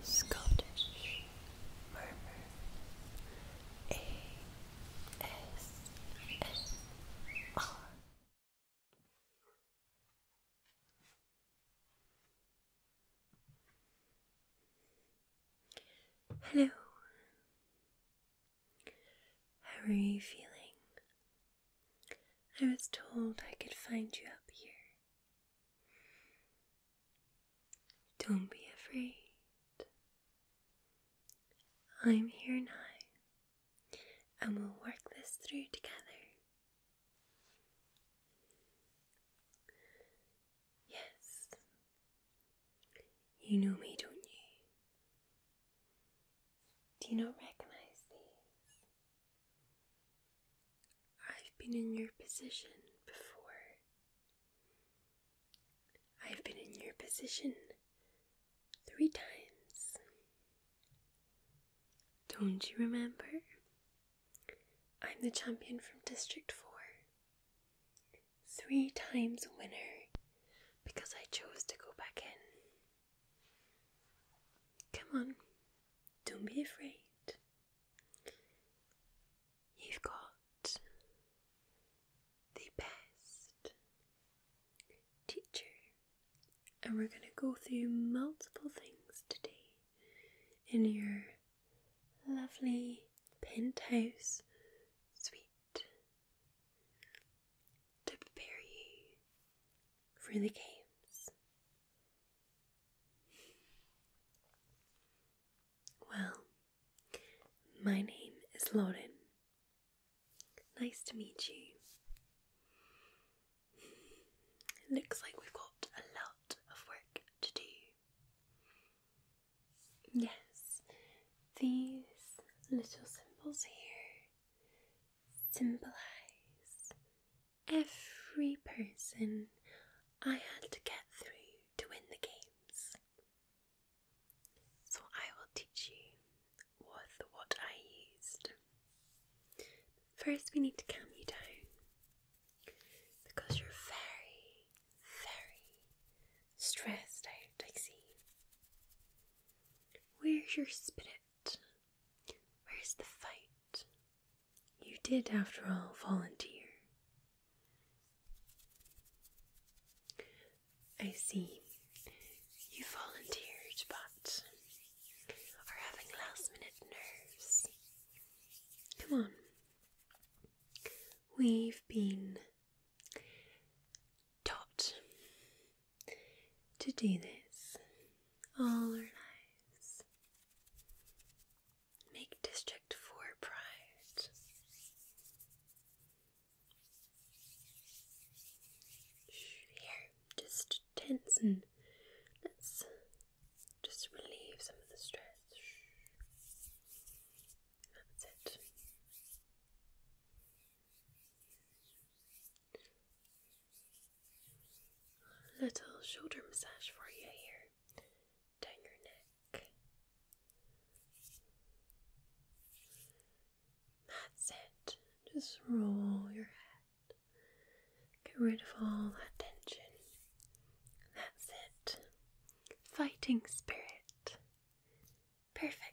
Scottish Hello. How are you feeling? I was told I could find you up here. Don't be afraid. I'm here now, and we'll work this through together. Yes, you know me, don't you? Do you not recognize these? I've been in your position before. I've been in your position three times. Don't you remember? I'm the champion from District 4. Three times winner because I chose to go back in. Come on, don't be afraid. You've got the best teacher, and we're going to go through multiple things today in your lovely penthouse suite to prepare you for the games well, my name is Lauren. Nice to meet you. looks like we've got a lot of work to do. Yes, these little symbols here symbolize every person I had to get through to win the games. So I will teach you with what I used. First, we need to calm you down because you're very, very stressed out, I see. Where's your spirit? Where's the fight? You did, after all, volunteer. I see. You volunteered, but are having last minute nerves. Come on. We've been taught to do this all our lives. Make District 4 pride. Here, just tense and let's just relieve some of the stress. That's it. Little shoulder massage for you here down your neck. That's it. Just roll your head. Get rid of all that tension. That's it. Fighting spirit. Perfect.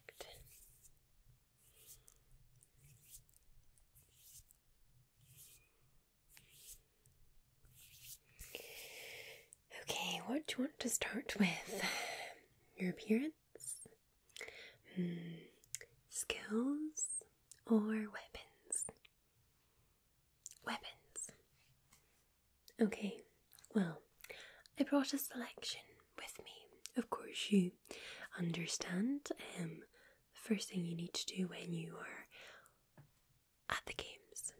Okay, what do you want to start with? Your appearance, hmm, skills, or weapons? Weapons. Okay, well, I brought a selection with me. Of course, you understand um, the first thing you need to do when you are at the games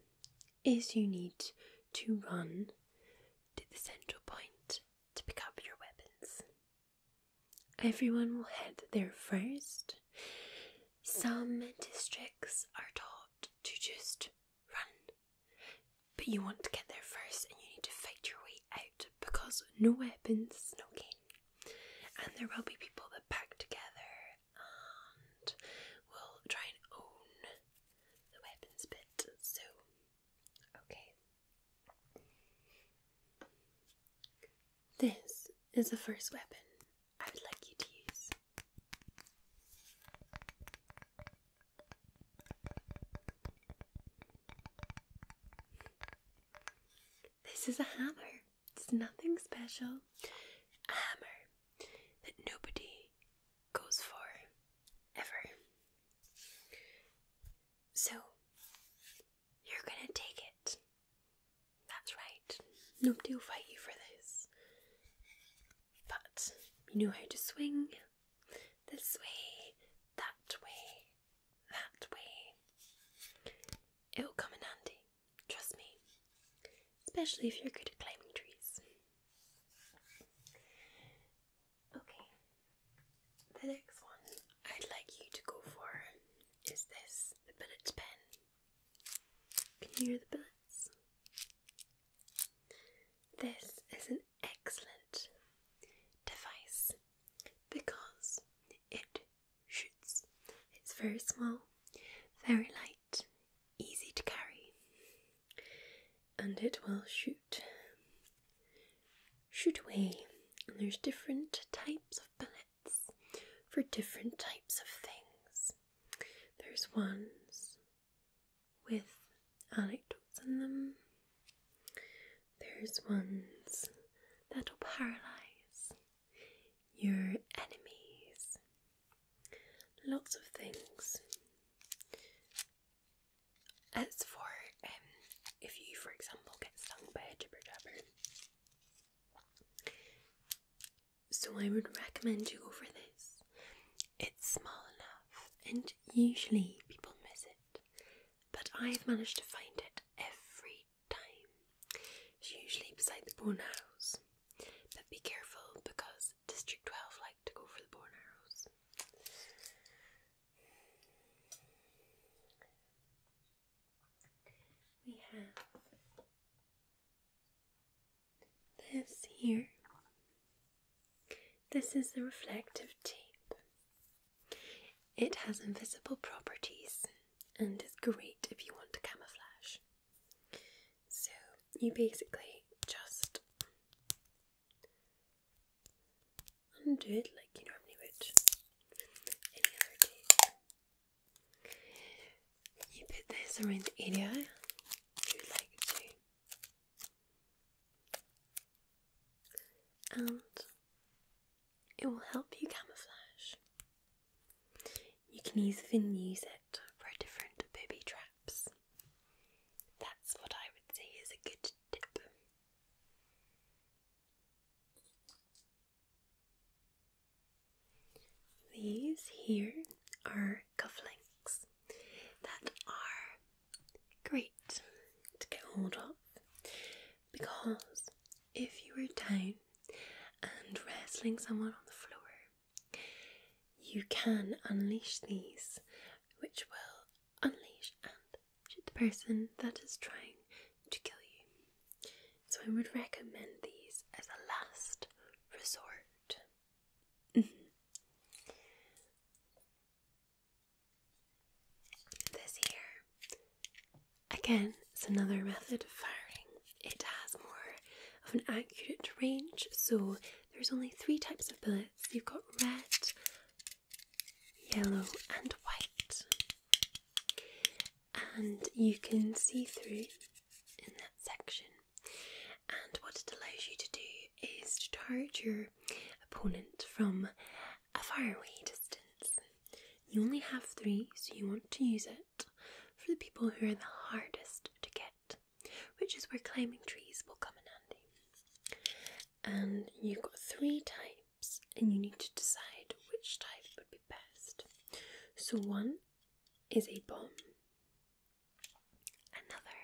is you need to run to the central point to pick up your weapons. Everyone will head there first. Some districts are taught to just run, but you want to get there first and you need to fight your way out because no weapons, no game and there will be people that pack together and will try and own the weapons bit. So, okay. This is the first weapon I would like you to use. This is a hammer. It's nothing special. A hammer that nobody goes for ever. So, you're gonna take it. That's right. Nobody will fight you for this. But you know how to swing this way, that way, that way. It will come in handy, trust me, especially if you're good at climbing trees. Okay, the next one I'd like you to go for is this the billet pen. Can you hear the billets? This is an excellent device because it shoots. It's very small, very light, easy to carry, and it will shoot. Shoot away, and there's different types of bullets for different types of things. There's ones with anecdotes in them, there's ones that'll paralyze, your enemies, lots of things. As for um, if you, for example, get stung by a jibber jabber, so I would recommend you go for this. It's small enough, and usually people miss it, but I've managed to find it every time. It's usually beside the bone arrows, but be careful because District 12 like to go for the bone arrows. We have this here. This is the reflective tape. It has invisible properties and is great if you want to camouflage. So you basically just undo it like you normally would any other day. You put this around the area you like to, and it will help you camouflage. You can even use it for different booby traps. That's what I would say is a good tip. These here are cufflinks that are great to hold of because if you were down and wrestling someone on the floor, you can unleash these, which will unleash and shoot the person that is trying to kill you. So I would recommend these as a last resort. Mm-hmm. This here, again, it's another method of firing. It has more of an accurate range, so there's only three types of bullets. You've got red, yellow, and white, and you can see through in that section. And what it allows you to do is to target your opponent from a faraway distance. You only have three, so you want to use it for the people who are the hardest to get, which is where climbing trees will come in handy. And you've got three types, and you need to decide which type would be best. So, one is a bomb, another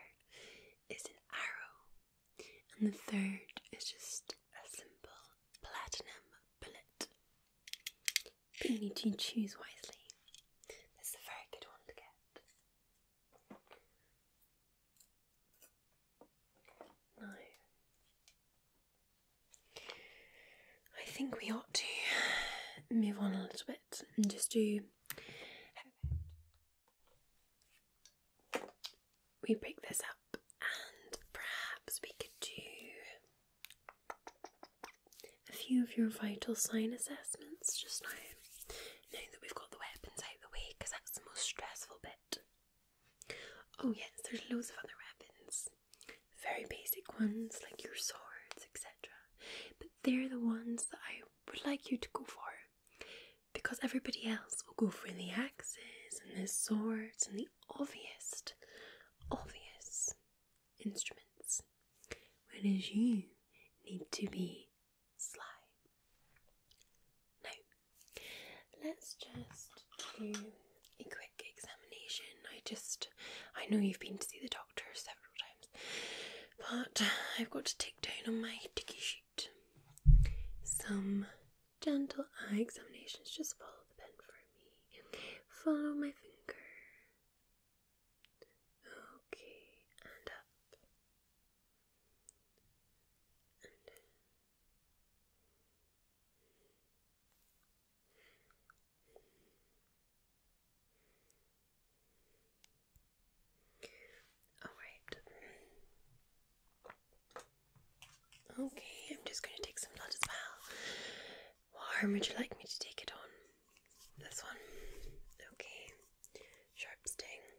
is an arrow, and the third is just a symbol. Platinum Bullet. you need to choose wisely. This a very good one to get. No. I think we ought to move on a little bit and just do we break this up and perhaps we could do a few of your vital sign assessments just now. Now that we've got the weapons out of the way, because that's the most stressful bit. Oh, yes, there's loads of other weapons. Very basic ones like your swords, etc. But they're the ones that I would like you to go for because everybody else will go for the axes and the swords and the obvious, obvious instruments, whereas you need to be sly. Now, let's just do a quick examination. I just, I know you've been to see the doctor several times, but I've got to tick down on my ticky sheet some gentle eye examinations. Just follow the pen for me. Follow my finger. Okay, and up. all right. Okay, I'm just going to take some blood as well. What arm would you like me to take it on? This one? Okay. Sharp sting.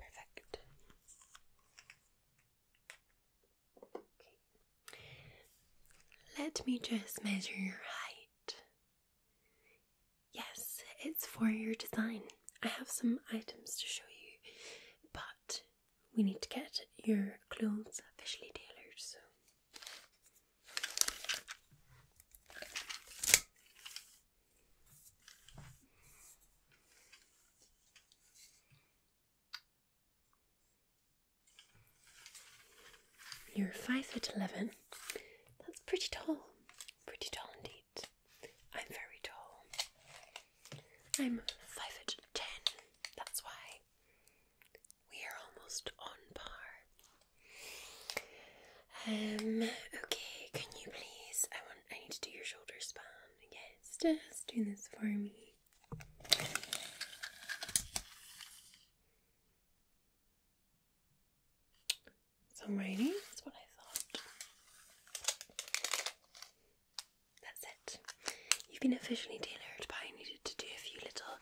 Perfect. Okay. Let me just measure your height. Yes, it's for your design. I have some items to show you, but we need to get your clothes officially tailored, so. You're five foot eleven. That's pretty tall. Pretty tall indeed. I'm very tall. I'm five foot ten. That's why we are almost on par. Um. Okay. Can you please? I want. I need to do your shoulder span. Yes. Just do this for me some rainy. That's what I thought. That's it. You've been officially tailored, but I needed to do a few little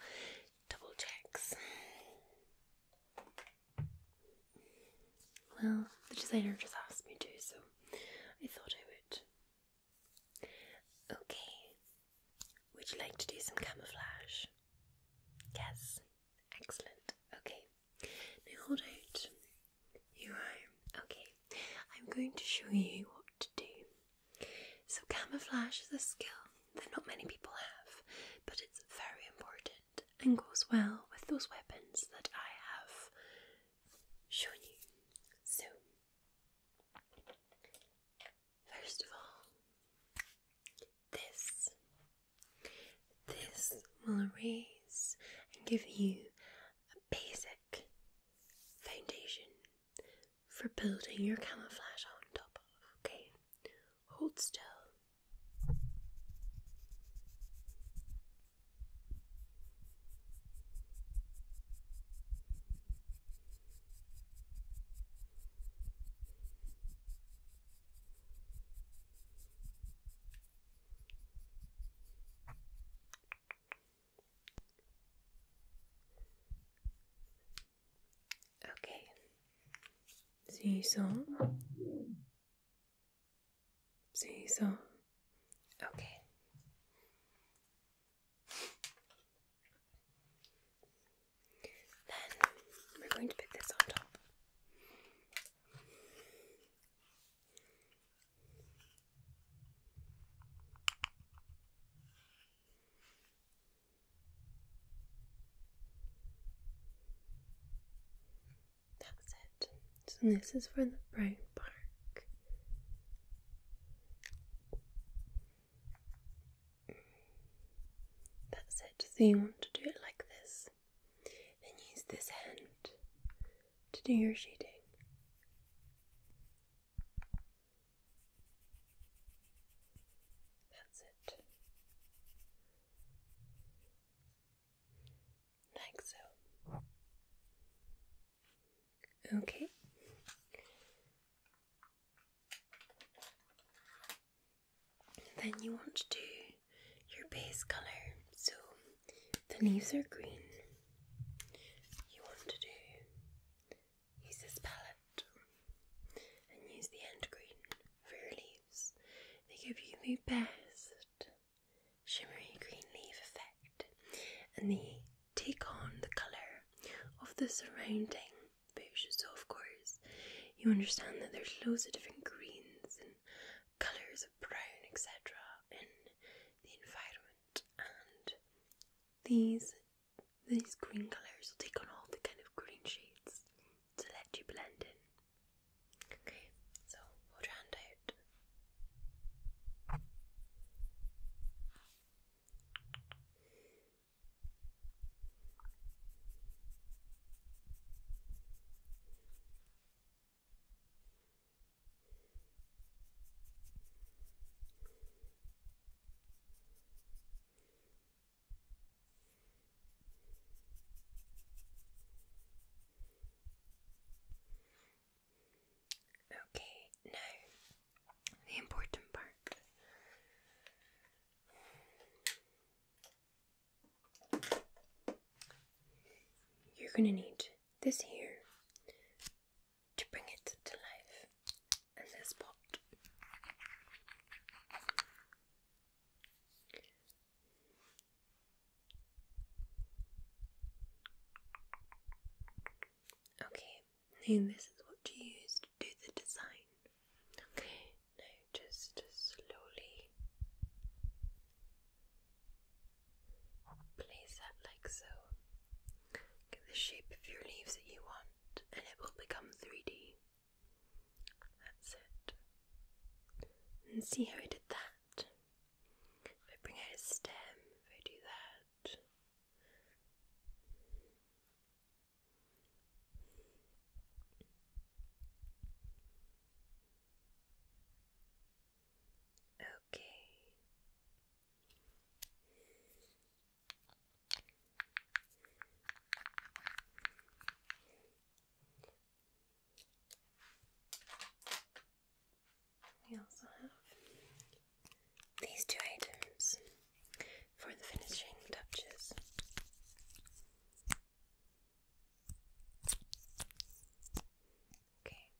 double checks. Well, the designer just asked me to, so I thought I would. Okay. Would you like to do some camouflage? Yes. Excellent. Okay. Now hold out your arm. Okay, I'm going to show you what to do. So, camouflage is a skill that not many people have, but it's very important and goes well with those weapons that I have shown you. So, first of all, this this will erase and give you a basic foundation for building your camouflage on top of. Okay, hold still. Okay. See saw. See saw. Okay. Then we're going to put this on top. That's it. So this is for the brown bark. That's it. So you want to do it like this. And use this hand to do your shading. That's it. Like so. Okay. Then you want to do your base colour. So the leaves are green. You want to do use this palette and use the end green for your leaves. They give you the best shimmery green leaf effect and they take on the colour of the surrounding bush. So, of course, you understand that there's loads of different greens colors of brown, etc., in the environment. And these these green colors will take on all the kind of green shades to let you blend in. so hold your hand out. Okay, now the important part. You're going to need this here to bring it to life, and this pot. Okay, now this is what you use to do the design. Okay, now just slowly place that like so. Get the shape of your leaves that you want, and it will become 3D. That's it. And see how I did that? If I bring out a stem, if I do that. Okay. We also have these two items for the finishing touches. Okay.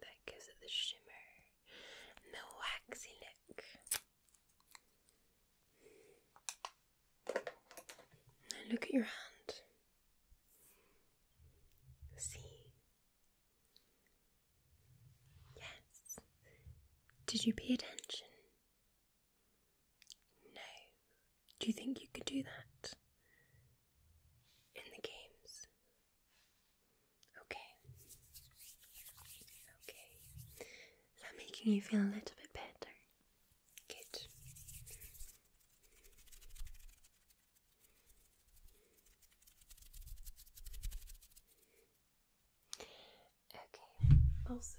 that gives it the shimmer and the waxy look. look at your hand. See, Yes. Did you pay attention? No. Do you think you could do that? In the games? Okay. Okay. Is that making you feel a little bit better? Good. Okay, also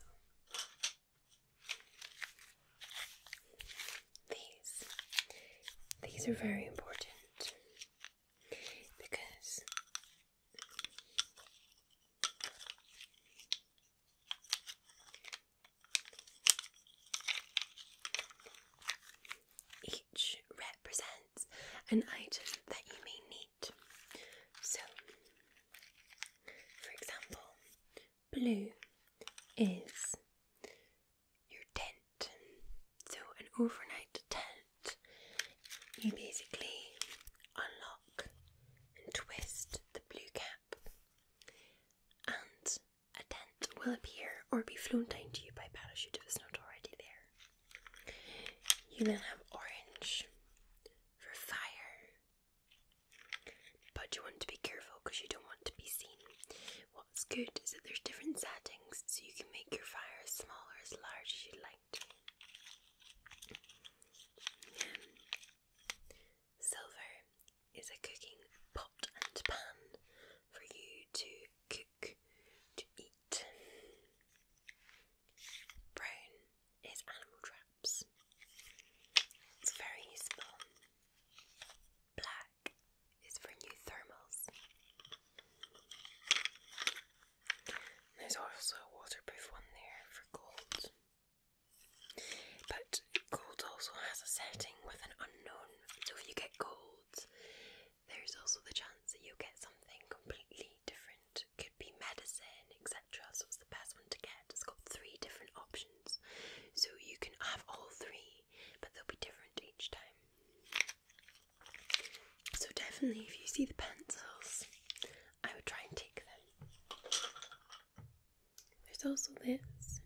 these these are very important because which represents an item that you may need. So, for example, blue is your tent. So, an overnight tent, you basically unlock and twist the blue cap, and a tent will appear or be flown down to you by parachute if it's not already there. You then have orange for fire. But you want to be careful because you don't want to be seen. What's good is that there's different settings so you can make your fire as small or as large as you like. Um, silver is a cooking pot and pan for you to cook to eat. Prone is animal traps. It's very useful. Black is for new thermals. There's also a waterproof one there for cold. But cold also has a setting with an unknown. So if you get cold, there's also the chance that you'll get something completely different. Could be medicine, etc. So it's the best one to get. It's got three different options. So you can have all three, but they'll be different each time. So definitely if you see the pencils, I would try and take them. There's also this,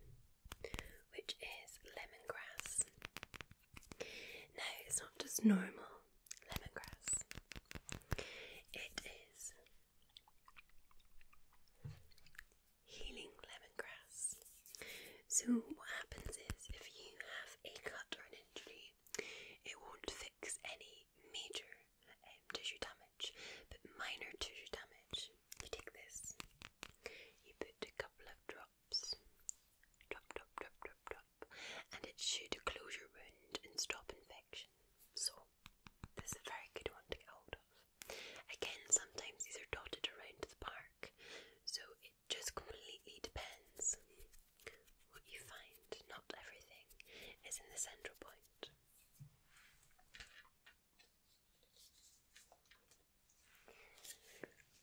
which is lemongrass. No, it's not just normal lemongrass. It is healing lemongrass. So, what happens is if you have a cut or an injury, it won't fix any major um, tissue damage, but minor tissue damage. You take this, you put a couple of drops. And it should close your wound and stop infection. So, this is a very good one to get hold of. Again, sometimes these are dotted around the park, so it just completely depends what you find. Not everything is in the central point.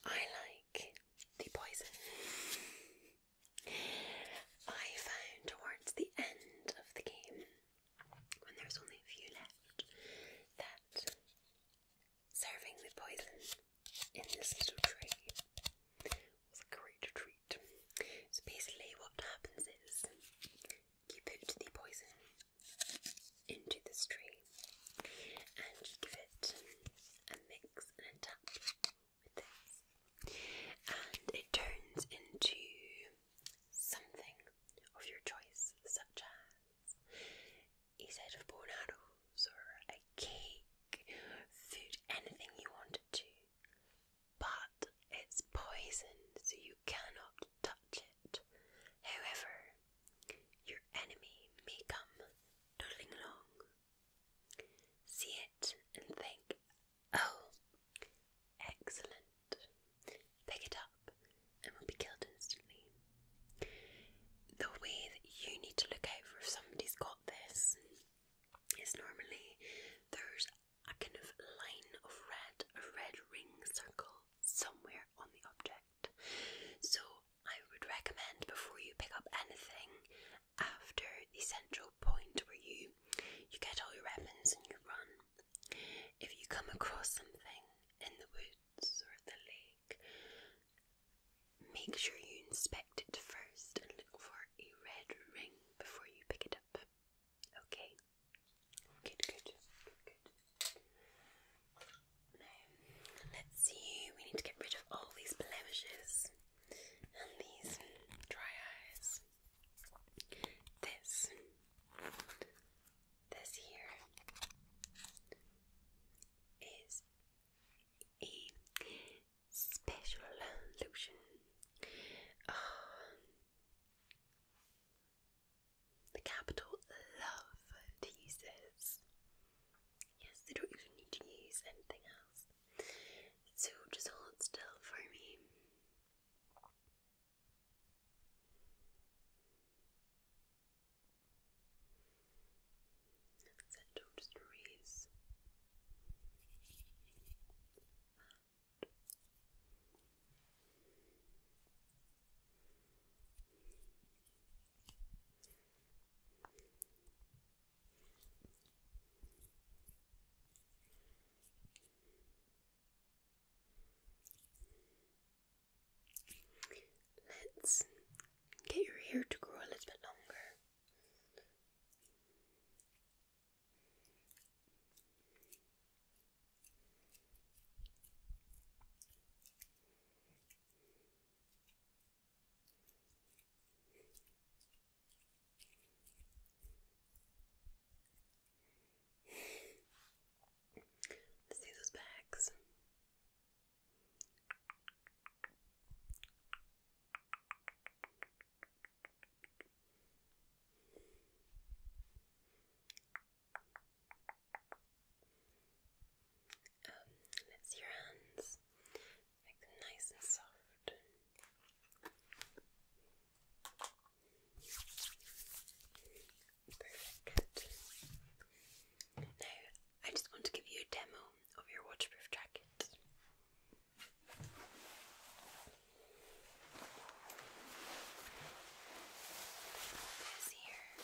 I like the poison. I found towards the end of the game, when there was only a few left, that serving the poison in this little tray was a great treat. So basically, what happens is you put the poison into this tray, and you give it a mix and a tap and it turns into something of your choice, such as a set of bone or a cake, food, anything you wanted to. But it's poison, so you cannot touch it. However, your enemy may come nodding along. See it and think, oh, excellent. Pick it up and will be killed instantly. The way that you need to look out if somebody's got this is normally there's a kind of line of red, a red ring circle somewhere on the object. So I would recommend before you pick up anything after the central point where you you get all your weapons and you run. If you come across something in the woods or the lake, make sure you inspect it first and look for a red ring before you pick it up. Okay? Good, good, good. Let's see. We need to get rid of all these blemishes and these dry eyes. This. This here is a special lotion. Ah, the capital love to Yes, they don't even need to use anything else. So just hold still for me. That's it, Let's get your hair to grow a little bit longer. Let's do those bags. Um, let's see your hands. Make nice and soft. Perfect. Now, I just want to give you a demo of your waterproof jacket. here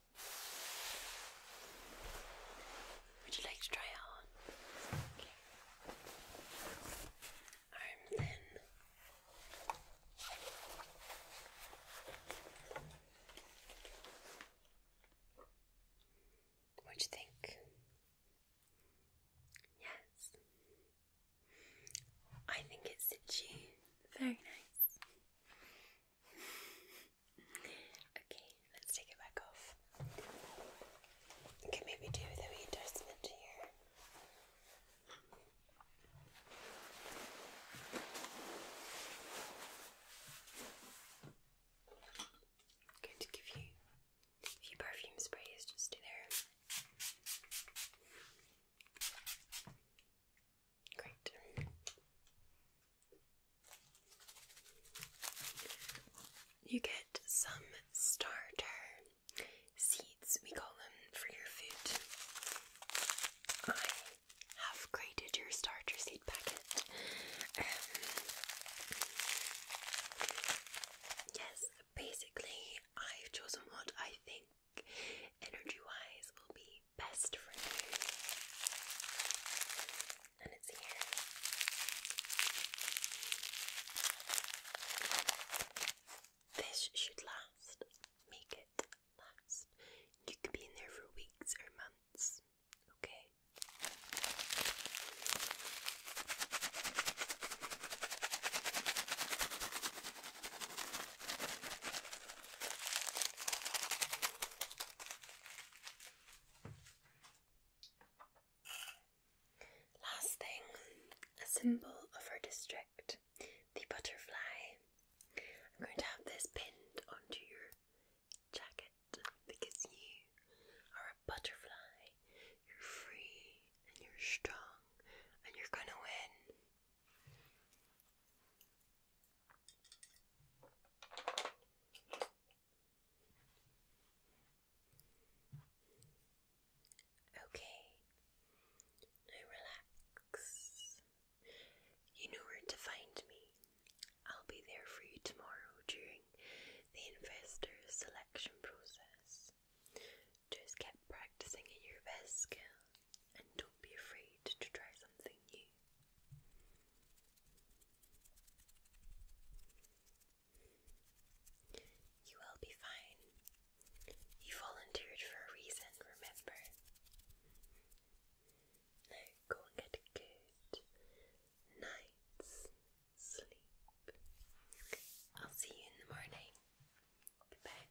Would you like to try it on? Okay. Arms in. What do you think? Yes. I think it sits very nice. Okay, let's take it back off. Okay, maybe do the wee adjustment here. i to give you a few perfume sprays just in there. Great. You get some starter seeds, we call them, for your food. I have graded your starter seed packet. Um, yes, basically, I've chosen what I think energy wise will be best for you. And it's here. This should last. Make it last. You could be in there for weeks or months. Okay. Last thing, a symbol of our district, the butterfly. I'm going to have this pinned onto your jacket because you are a butterfly. You're free and you're strong and you're gonna win. Okay, now relax. You know where to find me. I'll be there for you tomorrow during the investor selection process. Just keep practicing in your best skill and don't be afraid to try something new. You will be fine. You volunteered for a reason, remember? Now go and get good night's sleep. I'll see you in the morning. Goodbye.